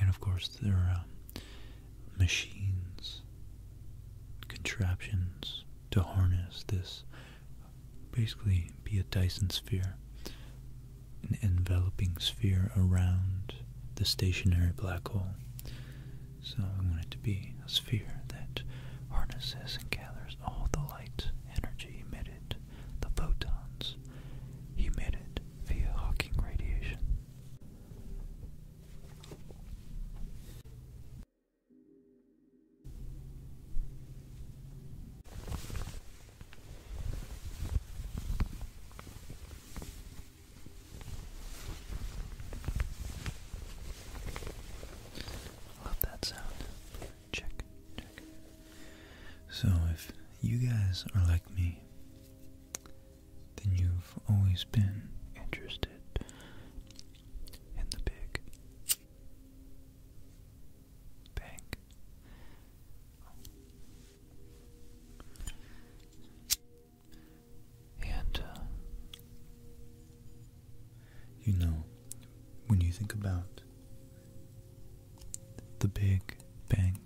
And of course, there are um, machines, contraptions to harness this, basically be a Dyson sphere, an enveloping sphere around the stationary black hole. So I want it to be a sphere that harnesses and gathers all the light energy emitted, the photons he made it via Hawking radiation. Love that sound. Check, check, so if you guys are like me, then you've always been interested in the big bang. And uh, you know, when you think about the Big Bang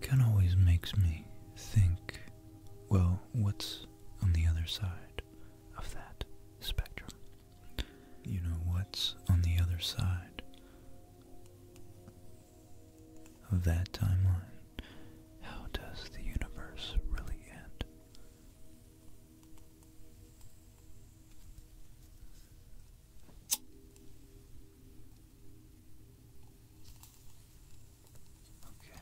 kind of always makes me think, well, what's on the other side of that spectrum? You know, what's on the other side of that timeline? How does the universe really end? Okay.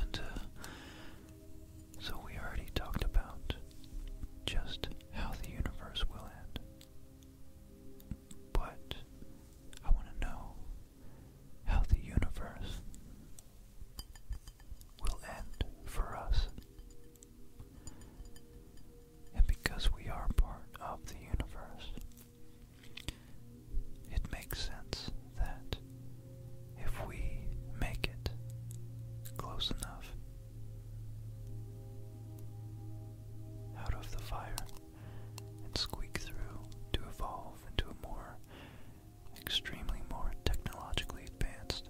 And uh, so we already talked about just how the universe will end. But I want to know how the universe will end for us and because we are part of the universe, it makes sense that if we make it close enough out of the fire and squeak through to evolve into a more, extremely more technologically advanced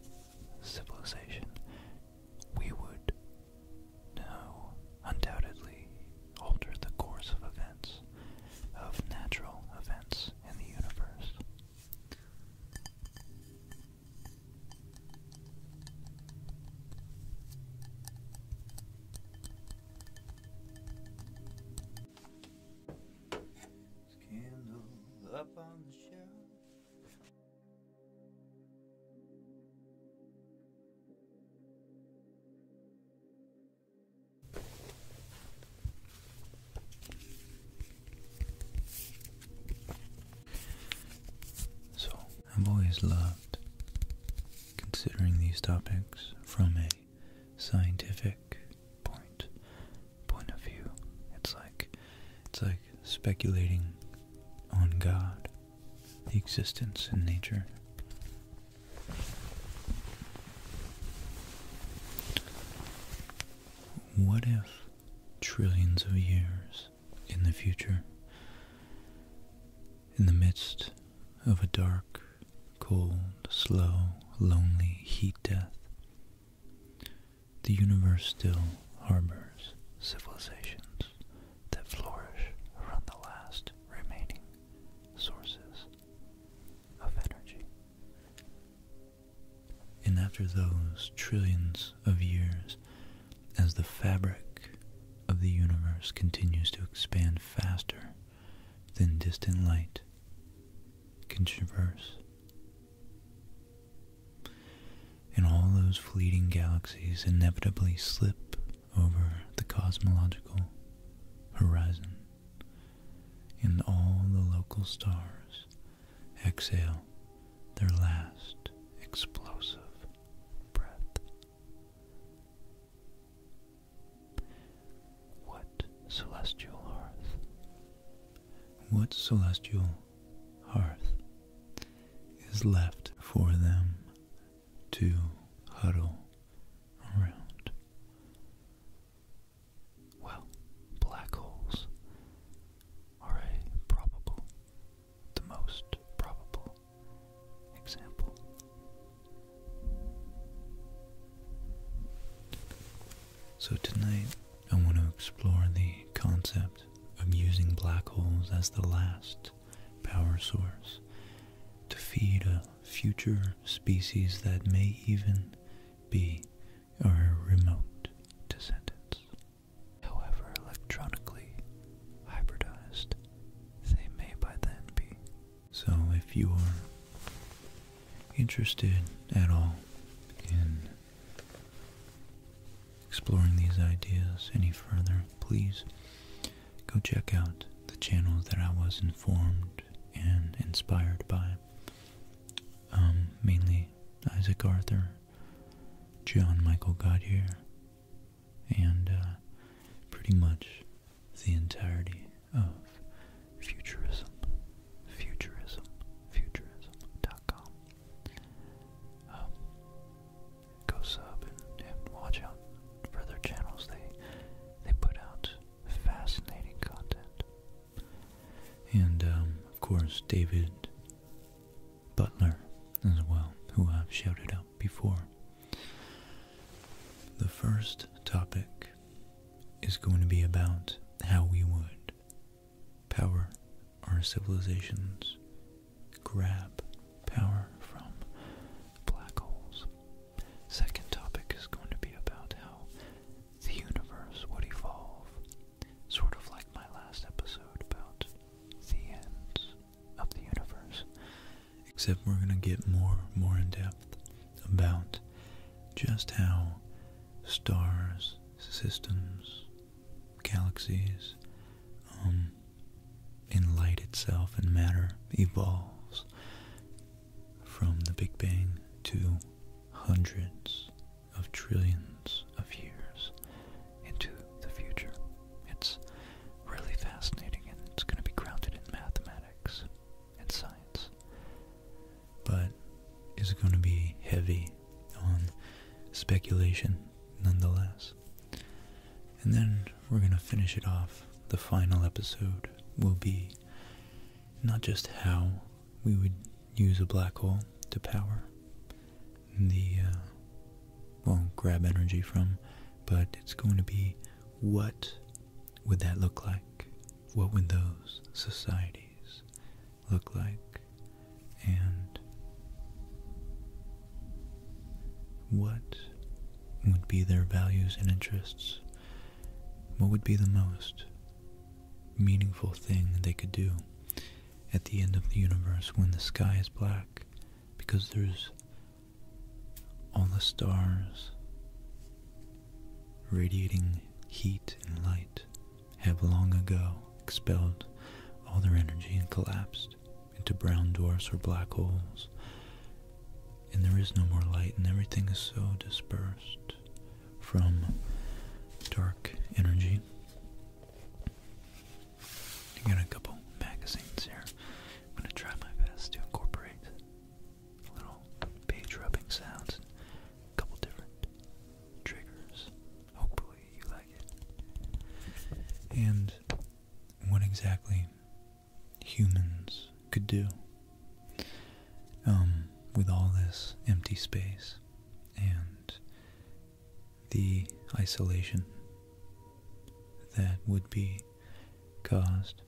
civilization, we would now undoubtedly alter the course of events, of natural events in the universe. So, I've always loved considering these topics from a scientific point point of view. It's like it's like speculating on God, the existence in nature. What if trillions of years in the future, in the midst of a dark, cold, slow, lonely heat death, the universe still harbors civilizations that flourish around the last remaining sources of energy. And after those trillions of years, as the fabric of the universe continues to expand faster than distant light can traverse, and all those fleeting galaxies inevitably slip over the cosmological horizon, and all the local stars exhale their last explosive breath. What celestial earth what celestial hearth is left for them to huddle around? Well, black holes are a probable, the most probable example. So tonight I want to explore the concept of using black holes as the last power source to feed a future species that may even be our remote descendants. However electronically hybridized, they may by then be. So if you are interested at all in exploring these ideas any further, please go check out the channel that I was informed and inspired by. Um, mainly Isaac Arthur, John Michael Godier, and uh, pretty much the entirety of futurism, futurism, futurism.com. Um, go sub and, watch out for their channels. They they put out fascinating content. And um, of course, David Butler as well, who I've shouted out before. The first topic is going to be about how we would power our civilizations grab power from black holes. Second topic is going to be about how the universe would evolve, sort of like my last episode about the ends of the universe. Except we're going to get more more in depth about just how stars, systems, galaxies, um, in light itself and matter evolves from the Big Bang to hundreds of trillions of years into the future. It's really fascinating and it's going to be grounded in mathematics and science. But is it going to be heavy on speculation nonetheless. And then we're going to finish it off. The final episode will be not just how we would use a black hole to power the, uh, well, grab energy from, but it's going to be what would that look like? What would those societies look like and what would be their values and interests, what would be the most meaningful thing they could do at the end of the universe when the sky is black because there's all the stars radiating heat and light have long ago expelled all their energy and collapsed into brown dwarfs or black holes. And there is no more light, and everything is so dispersed from dark energy. got a couple magazines here. I'm going to try my best to incorporate little page rubbing sounds, a couple different triggers Hopefully, you like it. And what exactly humans could do um, with all this empty space and the isolation that would be caused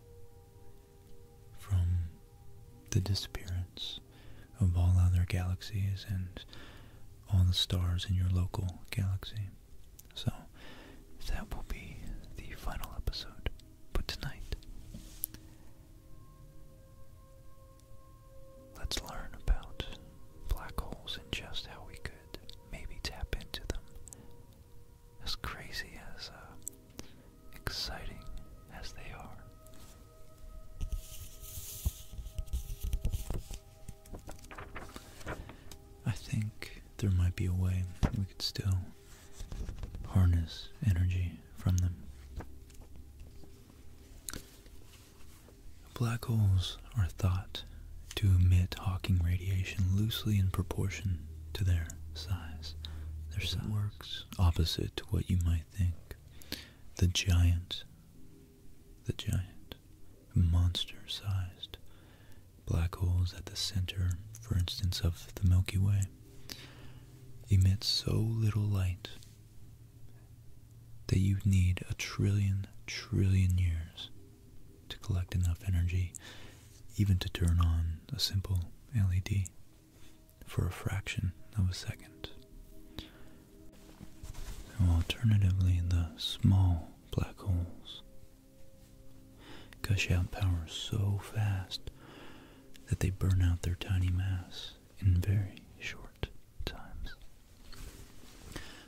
from the disappearance of all other galaxies and all the stars in your local galaxy. So, that will be the final episode for tonight. Let's learn about black holes and just how we could maybe tap into them. As crazy as uh, exciting as they are. I think there might be a way we could still harness energy from them. Black holes are thought to emit Hawking radiation loosely in proportion to their size. Their size works opposite to what you might think. The giants. The giant, monster-sized black holes at the center, for instance, of the Milky Way, emit so little light that you'd need a trillion, trillion years to collect enough energy even to turn on a simple LED for a fraction of a second or alternatively the small black holes gush out power so fast that they burn out their tiny mass in very short times.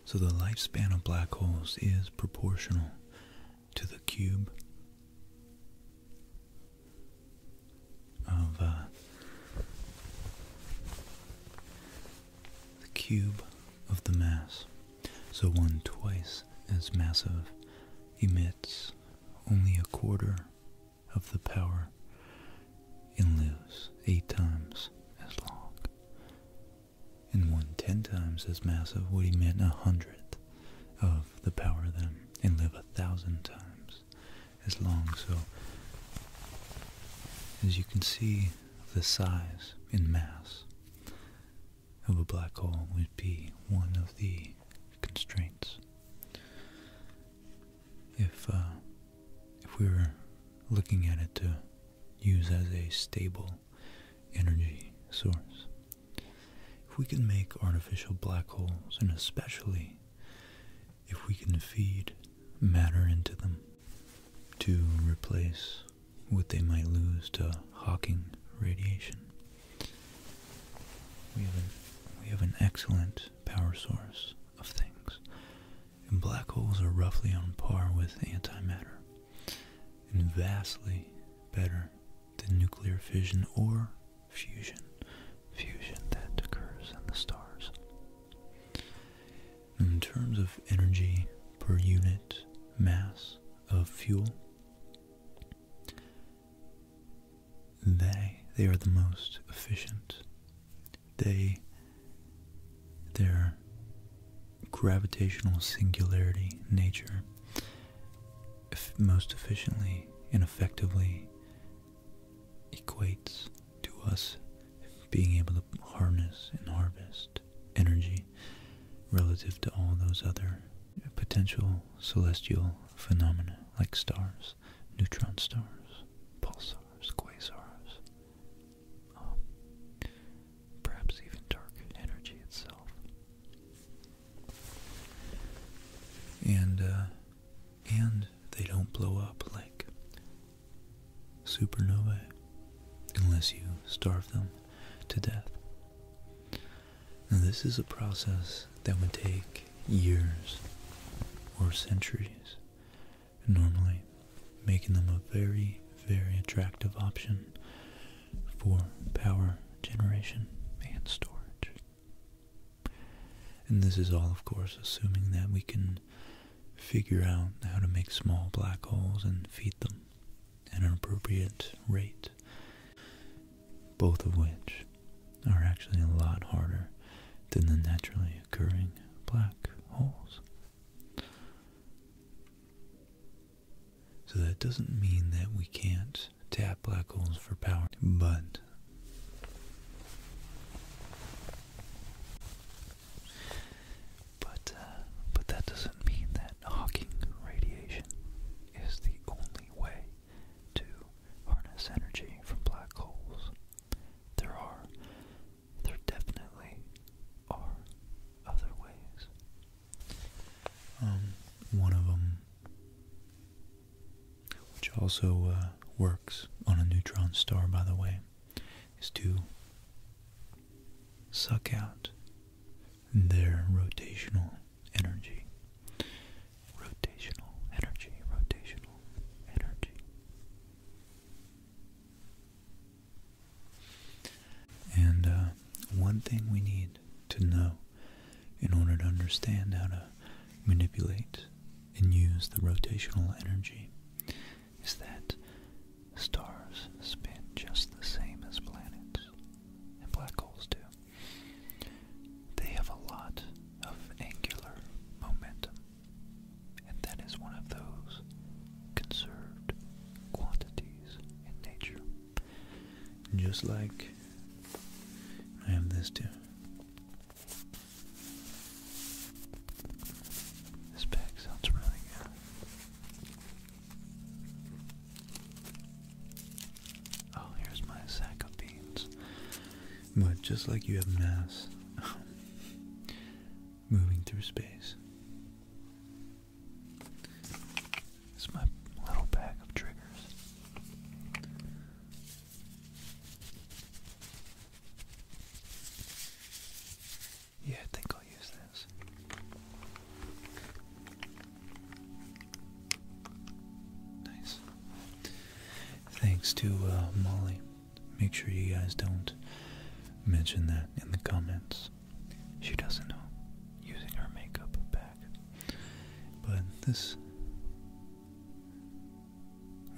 So the lifespan of black holes is proportional to the cube of uh, the cube of the mass. So one twice as massive emits only a quarter of the power and lives eight times as long. And one ten times as massive would emit a hundredth of the power then and live a thousand times as long. So as you can see, the size and mass of a black hole would be one of the constraints. If uh, if we were looking at it to use as a stable energy source, if we can make artificial black holes, and especially if we can feed matter into them to replace what they might lose to Hawking radiation. We have an, excellent power source of things, and black holes are roughly on par with antimatter, and vastly better than nuclear fission or fusion, fusion that occurs in the stars in terms of energy per unit mass of fuel, they they are the most efficient. They their gravitational singularity nature most efficiently and effectively equates to us being able to harness and harvest energy relative to all those other potential celestial phenomena like stars, neutron stars, pulsars, quasars, um, perhaps even dark energy itself. And uh, and they don't blow up like supernovae unless you starve them to death. this is a process that would take years or centuries, normally making them a very, very attractive option for power generation and storage. And this is all, of course, assuming that we can figure out how to make small black holes and feed them at an appropriate rate, both of which are actually a lot harder than the naturally occurring black holes. So that doesn't mean that we can't tap black holes for power, but but uh, but that doesn't mean that Hawking radiation is the only way to harness energy from black holes. There are there definitely are other ways. Um, one of them, which also uh, works on a neutron star, by the way, is to suck out their rotational energy. Rotational energy, rotational energy. And uh, one thing we need to know in order to understand how to manipulate and use the rotational energy is that stars spin just the same as planets, and black holes do. They have a lot of angular momentum, and that is one of those conserved quantities in nature. Just like I have this too. This bag sounds really good. Oh, here's my sack of beans. But just like you have mass, moving through space. This my little bag of triggers. Yeah, I think I'll use this. Nice. Thanks to uh, Molly. Make sure you guys don't mention that in the comments. She doesn't know using her makeup back. But this,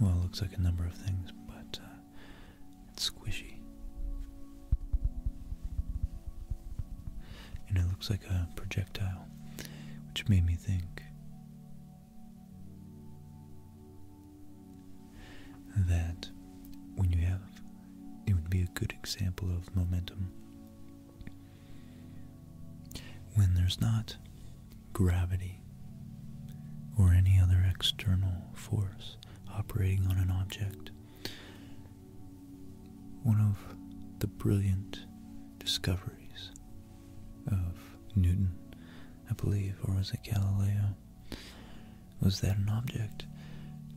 well, looks like a number of things, but uh, and squishy. And it looks like a projectile, which made me think that when you have, it would be a good example of momentum. When there's not gravity, or any other external force operating on an object. One of the brilliant discoveries of Newton, I believe, or was it Galileo, was that an object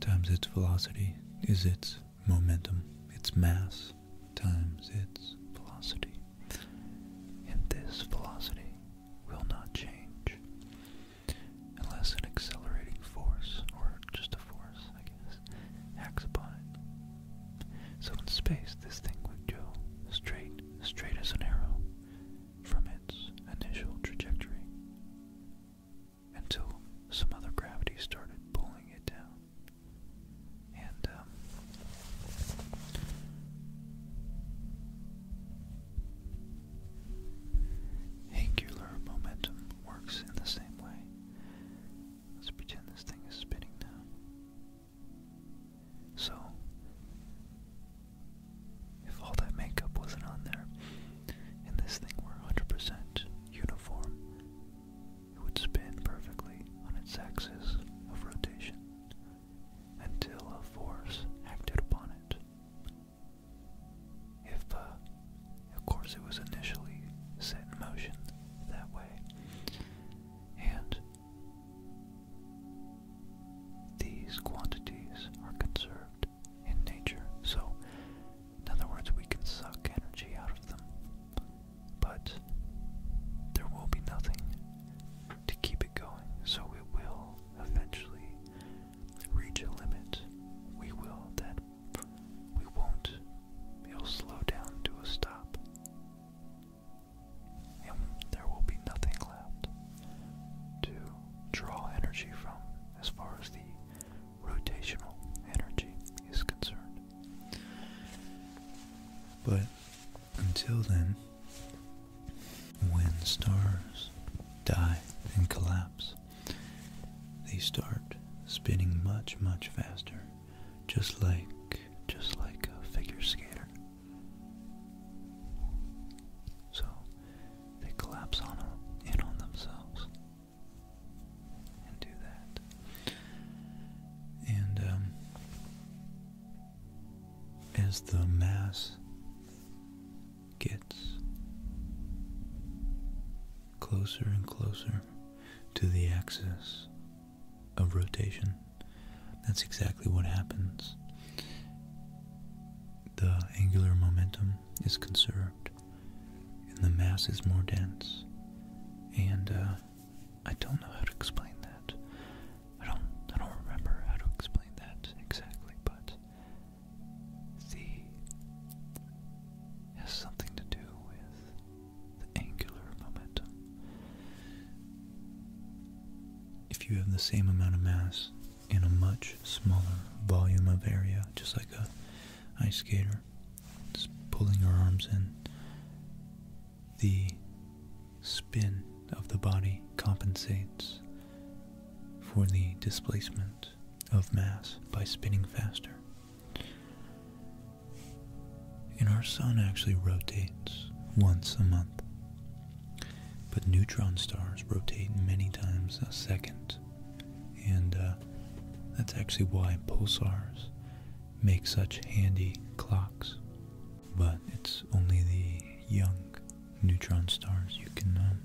times its velocity is its momentum, its mass times its velocity. And this velocity will not change unless an accelerating force, or just a force, I guess, acts upon it. So in space, this thing would go straight, straight as an arrow from its initial trajectory until some other gravity started pulling it down. Um, Angular momentum works in the same way. Let's pretend this thing is spinning now. So, if all that makeup wasn't on there, and this thing were 100% uniform, it would spin perfectly on its axis of rotation until a force acted upon it. If, uh, of course, it was initially set in motion that way, and these quantities are conserved in nature. So, in other words, we can suck energy out of them, but there will be nothing to keep it going, so it will eventually reach a limit. We will that we won't. It'll slow down to a stop. there will be nothing left to draw energy from as far as the rotational energy is concerned. But until then, when stars die and collapse, they start spinning much, much faster, just like just like a figure skater. So they collapse on in on themselves and do that. And um, as the mass gets closer and closer to the axis of rotation. That's exactly what happens. The angular momentum is conserved, and the mass is more dense. And uh, I don't know how to explain that. I don't I don't remember how to explain that exactly, but the has something to do with the angular momentum. If you have the same amount of mass in a much smaller volume of area, just like a ice skater, it's pulling her arms in, the spin of the body compensates for the displacement of mass by spinning faster. And our sun actually rotates once a month, but neutron stars rotate many times a second, and uh, that's actually why pulsars make such handy clocks. But it's only the young neutron stars you can um,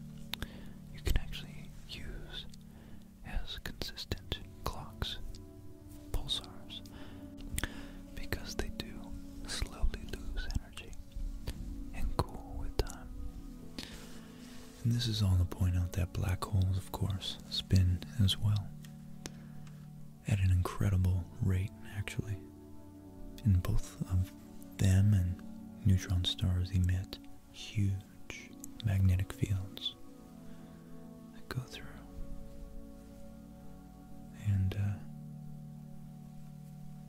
you can actually use as consistent clocks, pulsars, because they do slowly lose energy and cool with time. And this is all to point out that black holes, of course, spin as well at an incredible rate, actually and both of them and neutron stars emit huge magnetic fields that go through. And uh,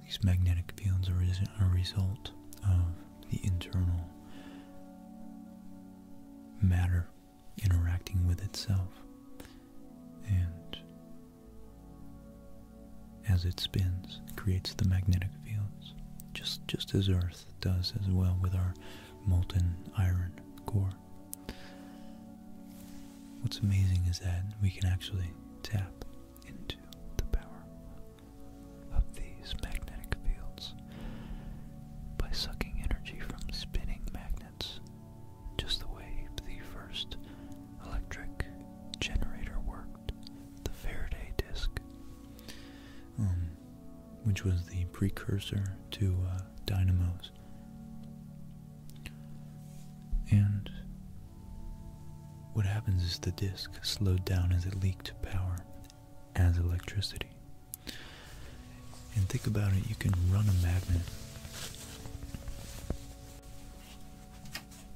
these magnetic fields are a result of the internal matter interacting with itself and as it spins, creates the magnetic fields, just, just as Earth does as well with our molten iron core. What's amazing is that we can actually tap into the power of these magnetic fields by sucking energy from spinning magnets just the way the first electric generator worked, the Faraday disk, um, which was the precursor to uh, dynamos. And what happens is the disk slowed down as it leaked power as electricity. And think about it, you can run a magnet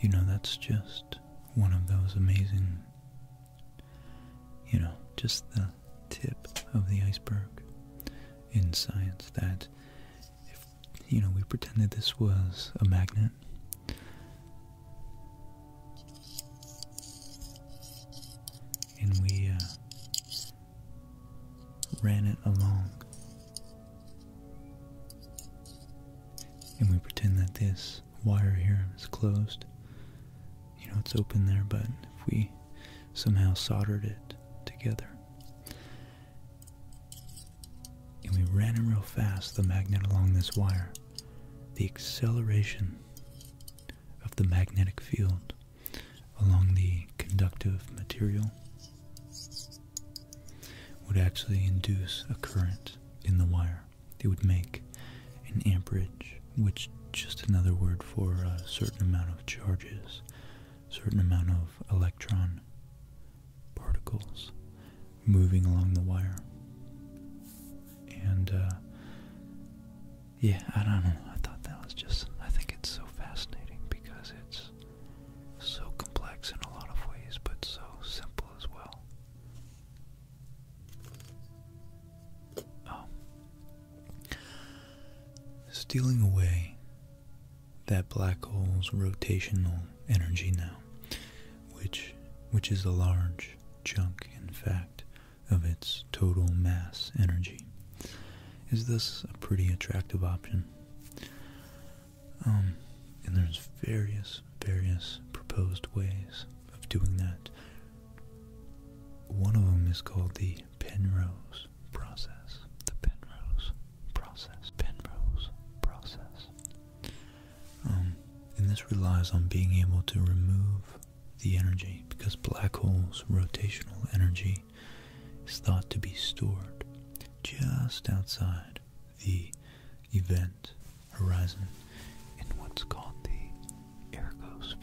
You know, that's just one of those amazing, you know, just the tip of the iceberg in science that if, you know, we pretended this was a magnet, and we uh, ran it along and we pretend that this wire here is closed. You know, it's open there, but if we somehow soldered it together and we ran it real fast, the magnet along this wire, the acceleration of the magnetic field along the conductive material would actually induce a current in the wire. They would make an amperage, which just another word for a certain amount of charges, certain amount of electron particles moving along the wire. And uh, yeah, I don't know. I thought that was just. I think it's so fascinating because it's so complex in a lot of ways, but so simple. Oh. Stealing away that black hole's rotational energy now, which which is a large chunk, in fact, of its total mass energy, is thus a pretty attractive option. Um, and there's various, various proposed ways of doing that. One of them is called the Penrose process. The Penrose process. Penrose process. Um, and this relies on being able to remove the energy because black holes' rotational energy is thought to be stored just outside the event horizon in what's called the ergosphere.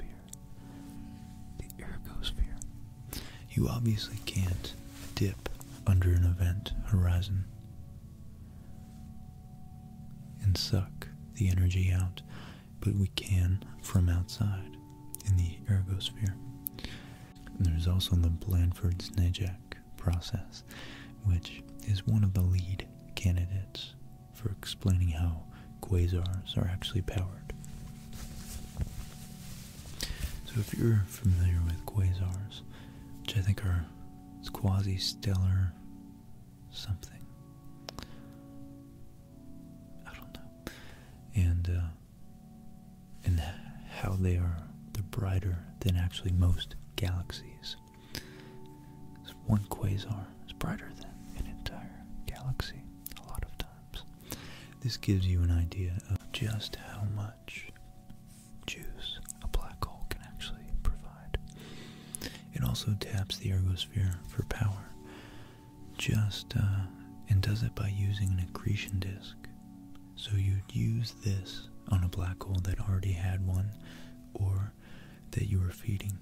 The ergosphere. You obviously can't dip under an event horizon and suck the energy out, but we can from outside in the ergosphere. And there's also the Blandford Snajak process, which is one of the lead candidates for explaining how quasars are actually powered. So if you're familiar with quasars, which I think are quasi-stellar something, I don't know, and uh, and how they are the brighter than actually most galaxies one quasar is brighter than an entire galaxy a lot of times. This gives you an idea of just how much juice a black hole can actually provide. It also taps the ergosphere for power. Just uh, and does it by using an accretion disk so you'd use this on a black hole that already had one or that you were feeding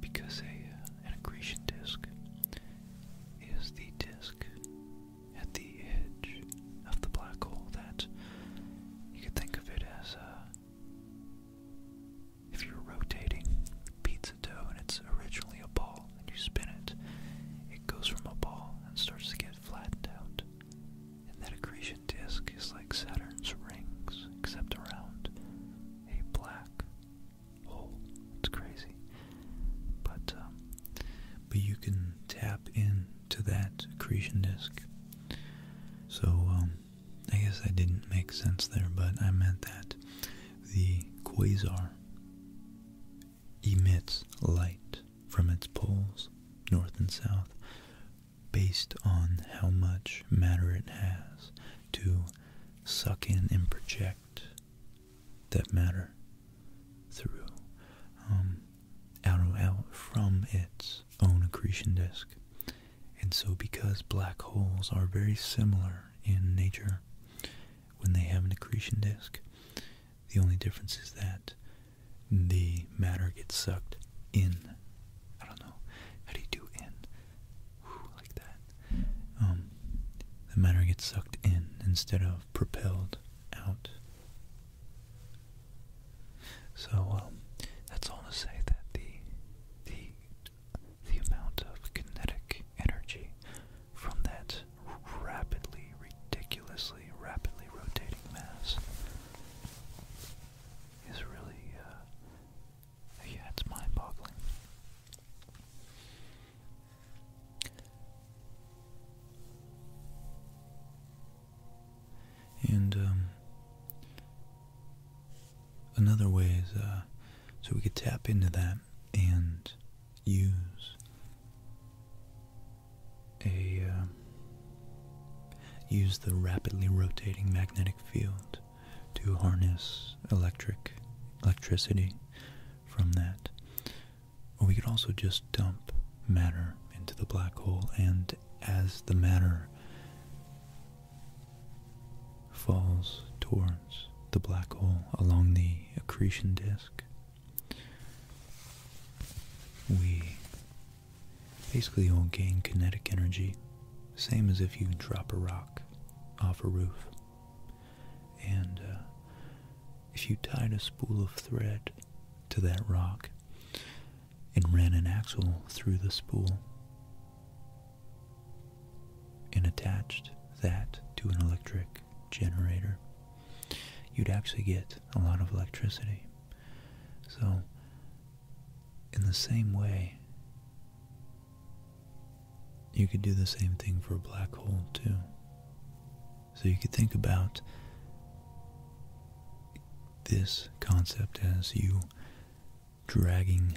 because a, uh, an accretion disk is the disk at the edge of the black hole that you could think of it as a uh, if you're rotating pizza dough and it's originally a ball and you spin it, it goes from a ball and starts to get flattened out and that accretion disk is like Saturn's rings, except around a black hole. It's crazy. But, um, but you can tap in to that accretion disk. So, um, I guess that didn't make sense there, but I meant that the quasar emits light from its poles, north and south, based on how much matter it has to suck in and project that matter through um, out from its own accretion disk. And so because black holes are very similar in nature when they have an accretion disk, the only difference is that the matter gets sucked in. I don't know. How do you do in? like that. Um, the matter gets sucked in instead of propelled out. So um, that's all to say that the the the amount of kinetic energy from that rapidly ridiculously intensely, rapidly rotating mass is really, uh, yeah, it's mind-boggling. And um, another way is uh, so we could tap into that and use a uh, use the rapidly rotating magnetic field to harness electric electricity from that. Or we could also just dump matter into the black hole, and as the matter falls towards the black hole along the accretion disk, we Basically, you'll gain kinetic energy, same as if you drop a rock off a roof. And uh, if you tied a spool of thread to that rock and ran an axle through the spool and attached that to an electric generator, you'd actually get a lot of electricity. So, in the same way, you could do the same thing for a black hole too. So, you could think about this concept as you dragging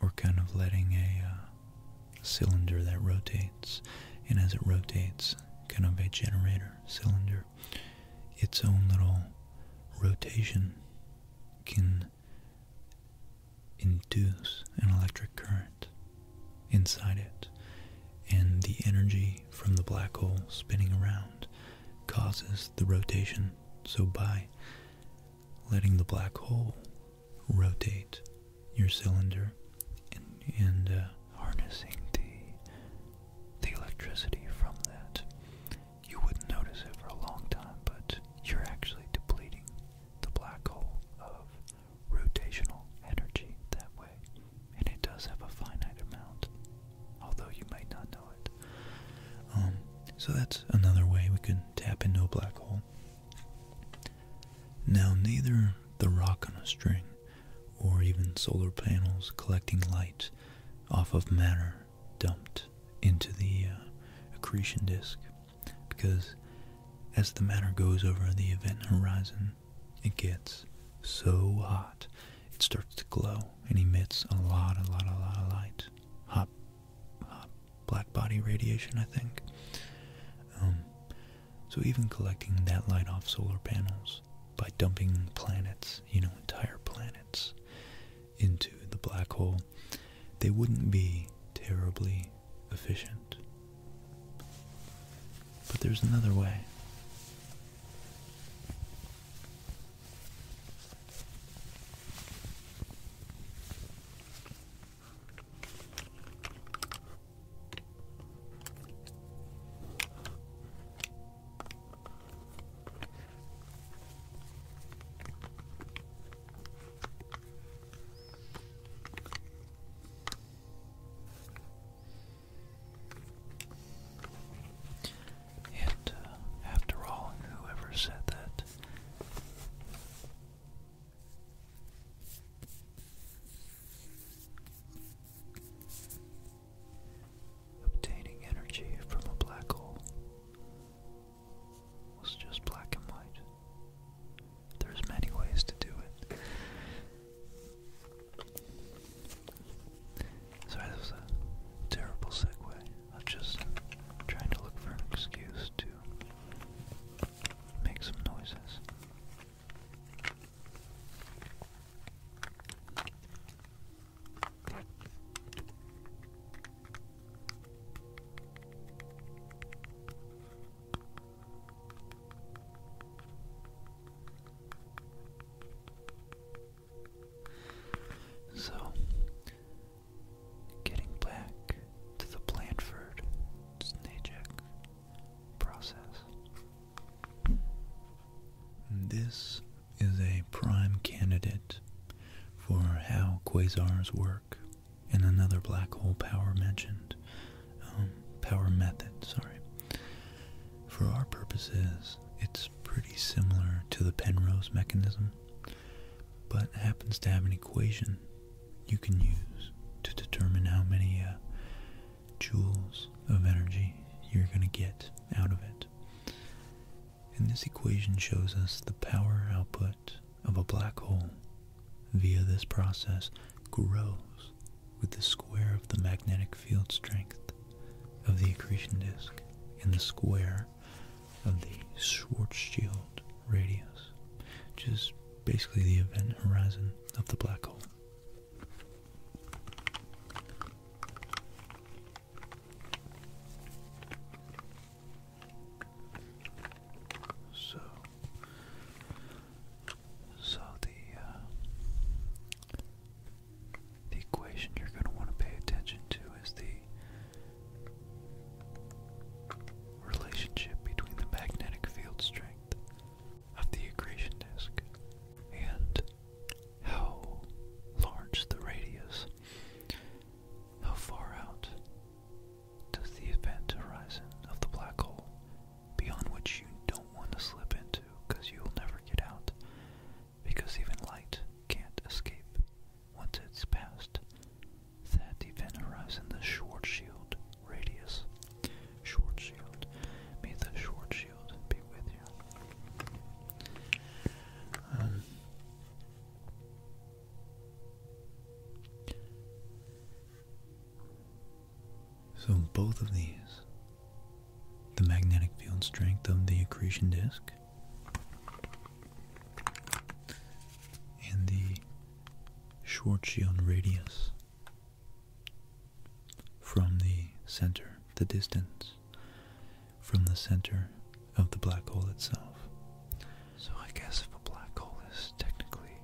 or kind of letting a uh, cylinder that rotates, and as it rotates, kind of a generator cylinder its own little rotation can induce an electric current inside it, and the energy from the black hole spinning around causes the rotation. So, by letting the black hole rotate your cylinder and, uh, harnessing the the electricity from that. You wouldn't notice it for a long time, but you're actually depleting the black hole of rotational energy that way. And it does have a finite amount, although you might not know it. Um, so that's another way we can tap into a black hole. Now, neither the rock on a string or even solar panels collecting light off of matter dumped into the uh, accretion disk. Because as the matter goes over the event horizon, it gets so hot it starts to glow and emits a lot, a lot, a lot of light. Hot, hot black body radiation, I think. Um, so even collecting that light off solar panels by dumping planets, you know, entire planets into the black hole, they wouldn't be terribly efficient. But there's another way. And uh, after all, whoever said that obtaining energy from a black hole was just black and white. There's many ways to do it. Sorry, that was a terrible segue. I'm just trying to look for an excuse to make some noises. So, getting back to the Blandford Snajek process. This is a prime candidate for how quasars work and another black hole power mentioned, um, power method, sorry. For our purposes, it's pretty similar to the Penrose mechanism, but happens to have an equation you can use to determine how many uh, joules of energy you're going to get out of it. And this equation shows us the power output of a black hole via this process grows with the square of the magnetic field strength of the accretion disk and the square of the Schwarzschild radius, which is basically the event horizon of the black hole. So, so the uh, the equation you're going to want to pay attention to is the relationship between the magnetic field strength of the accretion disk and how large the radius, how far out does the event horizon of the black hole, beyond which you don't want to slip into because you'll never get out, because even light can't escape once it's past that event horizon, the Schwarzschild radius short shield. May the short shield be with you. Um, so both of these, the magnetic field strength of the accretion disk and the Schwarzschild radius from the center, the distance from the center of the black hole itself. So I guess if a black hole is technically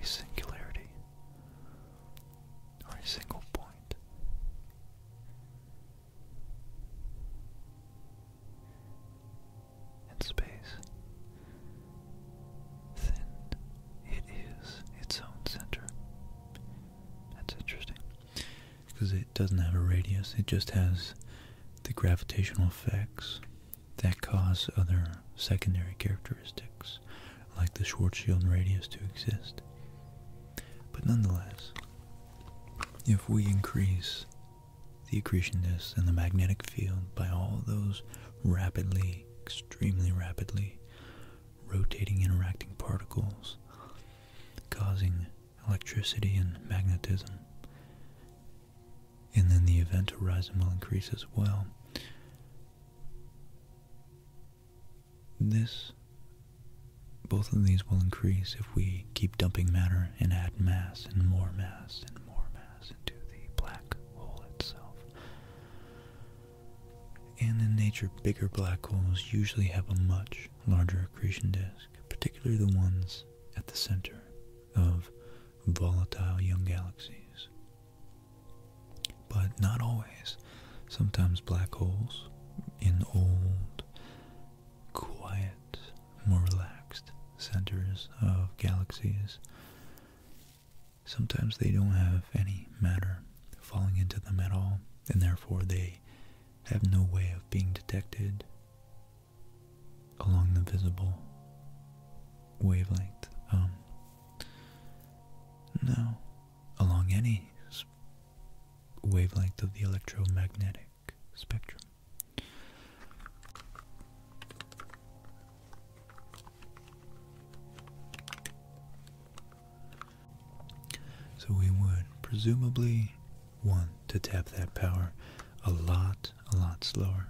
a singularity or a single point, in space, then it is its own center. That's interesting. Because it doesn't have a radius, it just has the gravitational effects that cause other secondary characteristics, like the Schwarzschild radius, to exist. But nonetheless, if we increase the accretion disk and the magnetic field by all those rapidly, extremely rapidly rotating interacting particles, causing electricity and magnetism. And then the event horizon will increase as well. This, both of these will increase if we keep dumping matter and add mass and more mass and more mass into the black hole itself. And in nature, bigger black holes usually have a much larger accretion disk, particularly the ones at the center of volatile young galaxies. But not always. Sometimes black holes in old, quiet, more relaxed centers of galaxies, sometimes they don't have any matter falling into them at all and therefore they have no way of being detected along the visible wavelength. Um, no, along any wavelength of the electromagnetic spectrum. So we would presumably want to tap that power a lot, a lot slower.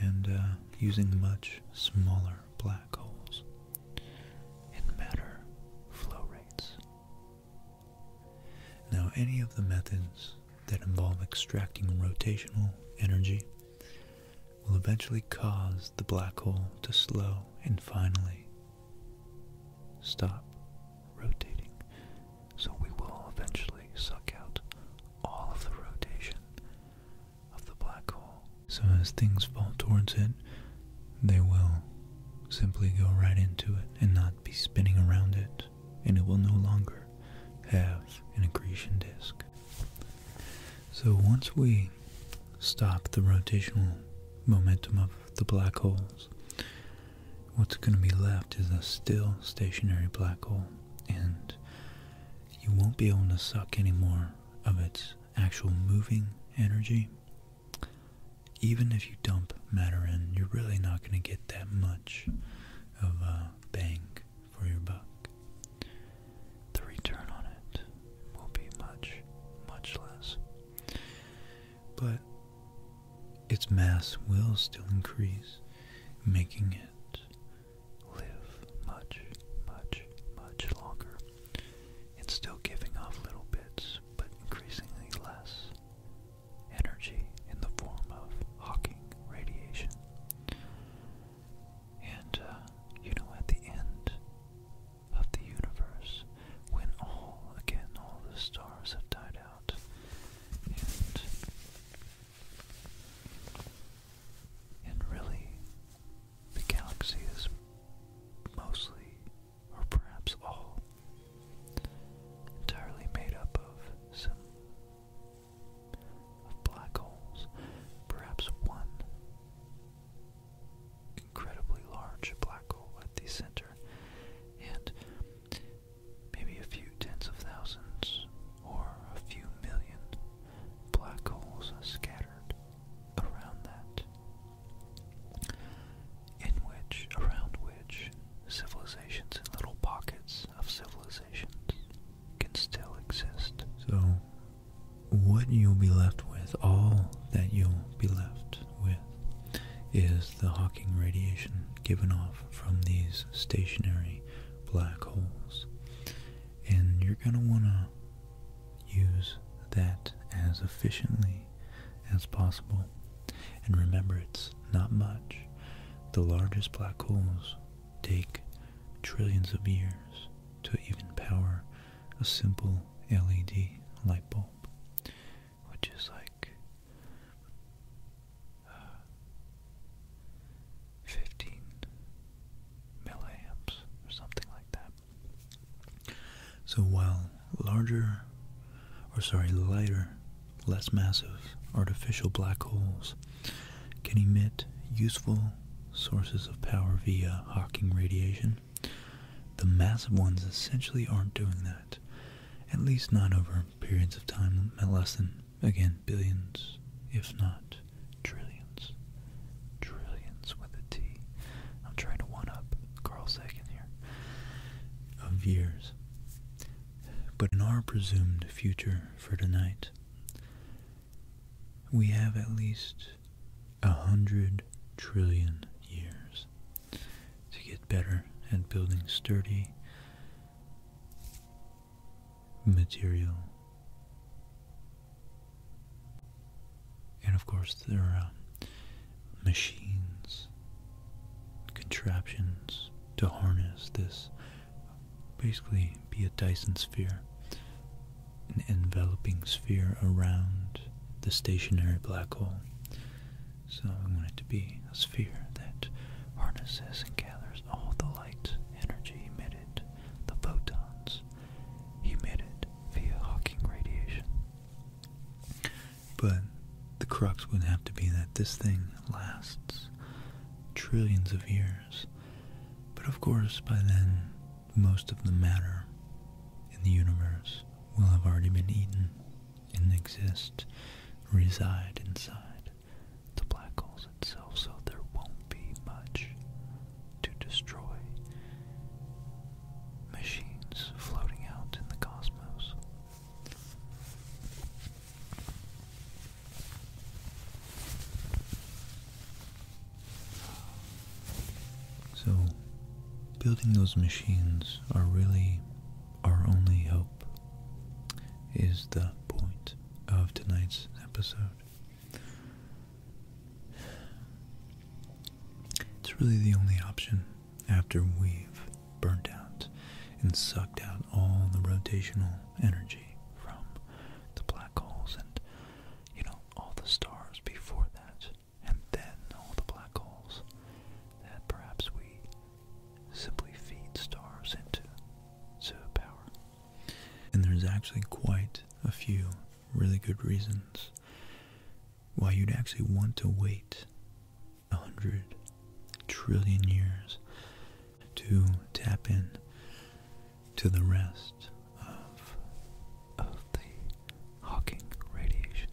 And uh, using much smaller black holes and matter flow rates. Now, any of the methods that involve extracting rotational energy will eventually cause the black hole to slow and finally stop rotating. So we will eventually suck out all of the rotation of the black hole. So as things fall towards it, they will simply go right into it and not be spinning around it, and it will no longer have an accretion disk. So once we stop the rotational momentum of the black holes, what's going to be left is a still stationary black hole, and you won't be able to suck any more of its actual moving energy. Even if you dump matter in, you're really not going to get that much of bang for your buck the return on it will be much, much less. But its mass will still increase, making it live much, much, much longer. It's still giving off little bits, but increasingly less energy in the form of Hawking radiation. And, uh, you know, at the end of the universe, when all, again, all the stars have died out, and, and really, the galaxy is mostly, or perhaps all, entirely made up of some of black holes, perhaps one incredibly large black hole at the center, and maybe a few tens of thousands or a few million black holes scattered around that, in which, around which, civilizations in little pockets of civilizations can still exist. So, what you'll be left with, all that you'll be left with, is the Hawking radiation given off from these stationary black holes. And you're going to want to use that as efficiently as possible. And remember, it's not much. The largest black holes take trillions of years to even power a simple LED light bulb, which is like uh, 15 milliamps or something like that. So while larger, or sorry, lighter, less massive artificial black holes can emit useful sources of power via Hawking radiation, the massive ones essentially aren't doing that. At least not over periods of time less than, again, billions, if not trillions. Trillions with a T. I'm trying to one up Carl Sagan here. Of years. But in our presumed future for tonight, we have at least a hundred trillion years to get better at building sturdy material. And of course, there are um, machines, contraptions to harness this. Basically, be a Dyson sphere an enveloping sphere around the stationary black hole. So I want it to be a sphere that harnesses and gathers all the light energy emitted, the photons emitted via Hawking radiation. But the crux would have to be that this thing lasts trillions of years. But of course, by then, most of the matter in the universe will have already been eaten and exist, reside inside the black holes itself, so there won't be much to destroy. Machines floating out in the cosmos. So, building those machines are really our only hope, is the point of tonight's episode. It's really the only option after we've burnt out and sucked out all the rotational energy from the black holes and you know, all the stars before that, and then all the black holes that perhaps we simply feed stars into to power. And there's actually quite a few really good reasons why you'd actually want to wait a hundred trillion years to tap in to the rest of, of the Hawking radiation.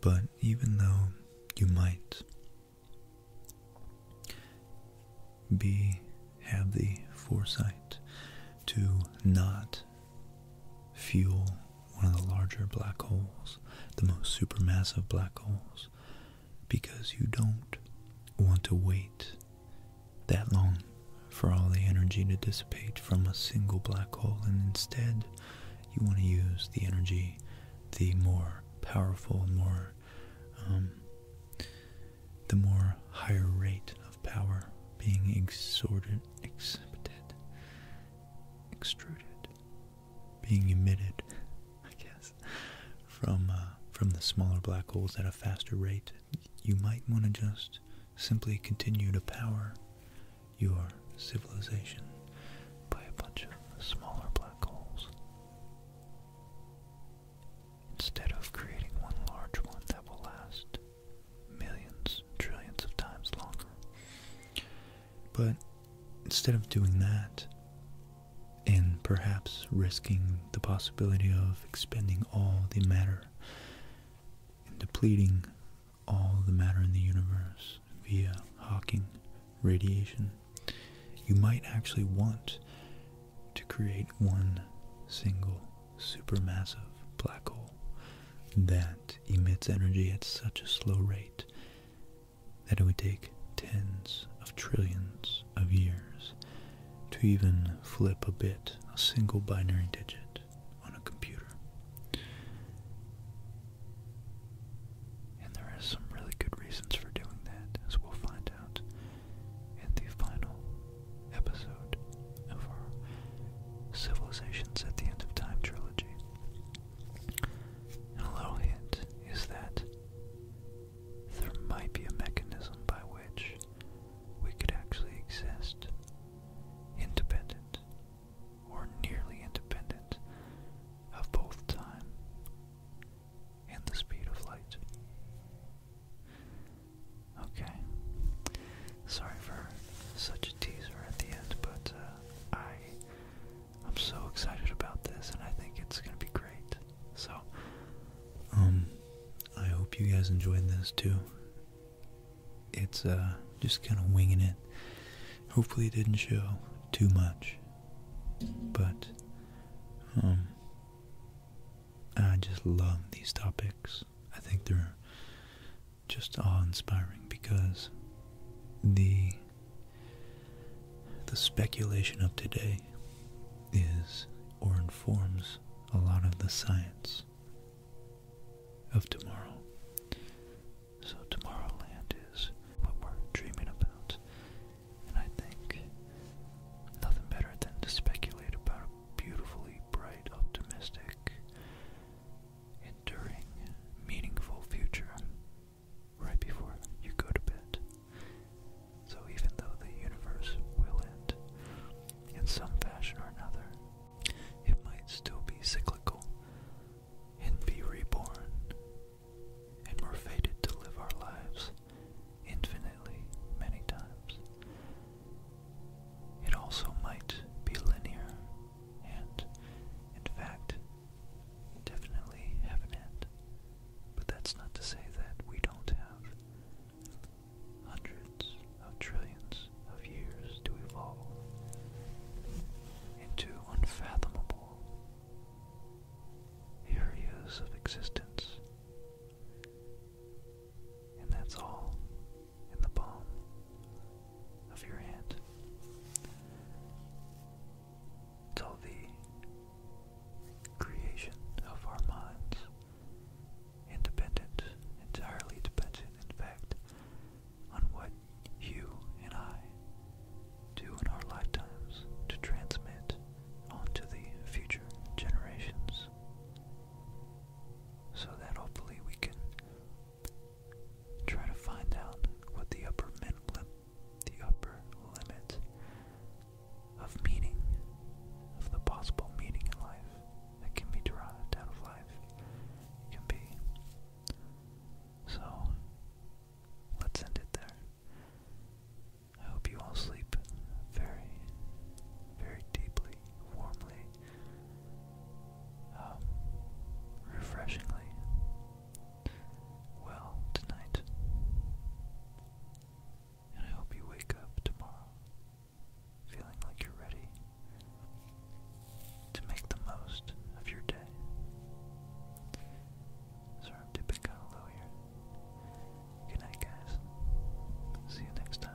But even though you might be have the foresight to not fuel one of the larger black holes, the most supermassive black holes, because you don't want to wait that long for all the energy to dissipate from a single black hole, and instead, you want to use the energy, the more powerful, more, um, the more higher rate of power being exorted, accepted, extruded, being emitted, I guess, from uh, from the smaller black holes at a faster rate. You might want to just simply continue to power your civilization by a bunch of smaller black holes. Instead of creating one large one that will last millions, trillions of times longer. But instead of doing that, and perhaps risking the possibility of expending all the matter and depleting all the matter in the universe via Hawking radiation, you might actually want to create one single supermassive black hole that emits energy at such a slow rate that it would take tens of trillions of years to even flip a bit, a single binary digit on a computer. And there some really good reasons for doing that, as we'll find out in the final episode of our Civilizations at the End of Time trilogy. And a little hint is that there might be a mechanism by which we could actually exist independent or nearly independent of both time and the speed of light. Okay. Sorry for such a teaser at the end, but uh, I I'm so excited about this and I think it's going to be great. So um I hope you guys enjoyed this too it's uh, just kind of winging it. Hopefully, it didn't show too much, but um, I just love these topics. I think they're just awe-inspiring because the the speculation of today is or informs a lot of the science of tomorrow. So, Tomorrowland is what we're dreaming about, and I think nothing better than to speculate about a beautifully bright, optimistic, enduring, meaningful future right before you go to bed. So, even though the universe will end, in some fashion or another. It might still be cyclical and be reborn, and we're fated to live our lives infinitely many times. It also might be linear and, in fact, definitely have an end. But that's not to say that we don't have hundreds of trillions of years to evolve into unfathomable areas of existence. And that's all in the palm of your hand. It's all the creation of our minds independent, entirely dependent, in fact, on what you and I do in our lifetimes to transmit onto the future generations. So that hopefully we can try to find out what the upper min the upper limit of meaning, of the possible meaning in life that can be derived out of life can be. So, let's end it there. I hope you all sleep very, very deeply, warmly, um, refreshingly well tonight. And I hope you wake up tomorrow feeling like you're ready to make the most of your day. Sorry, I'm dipping kind of low here. Good guys. See you next time.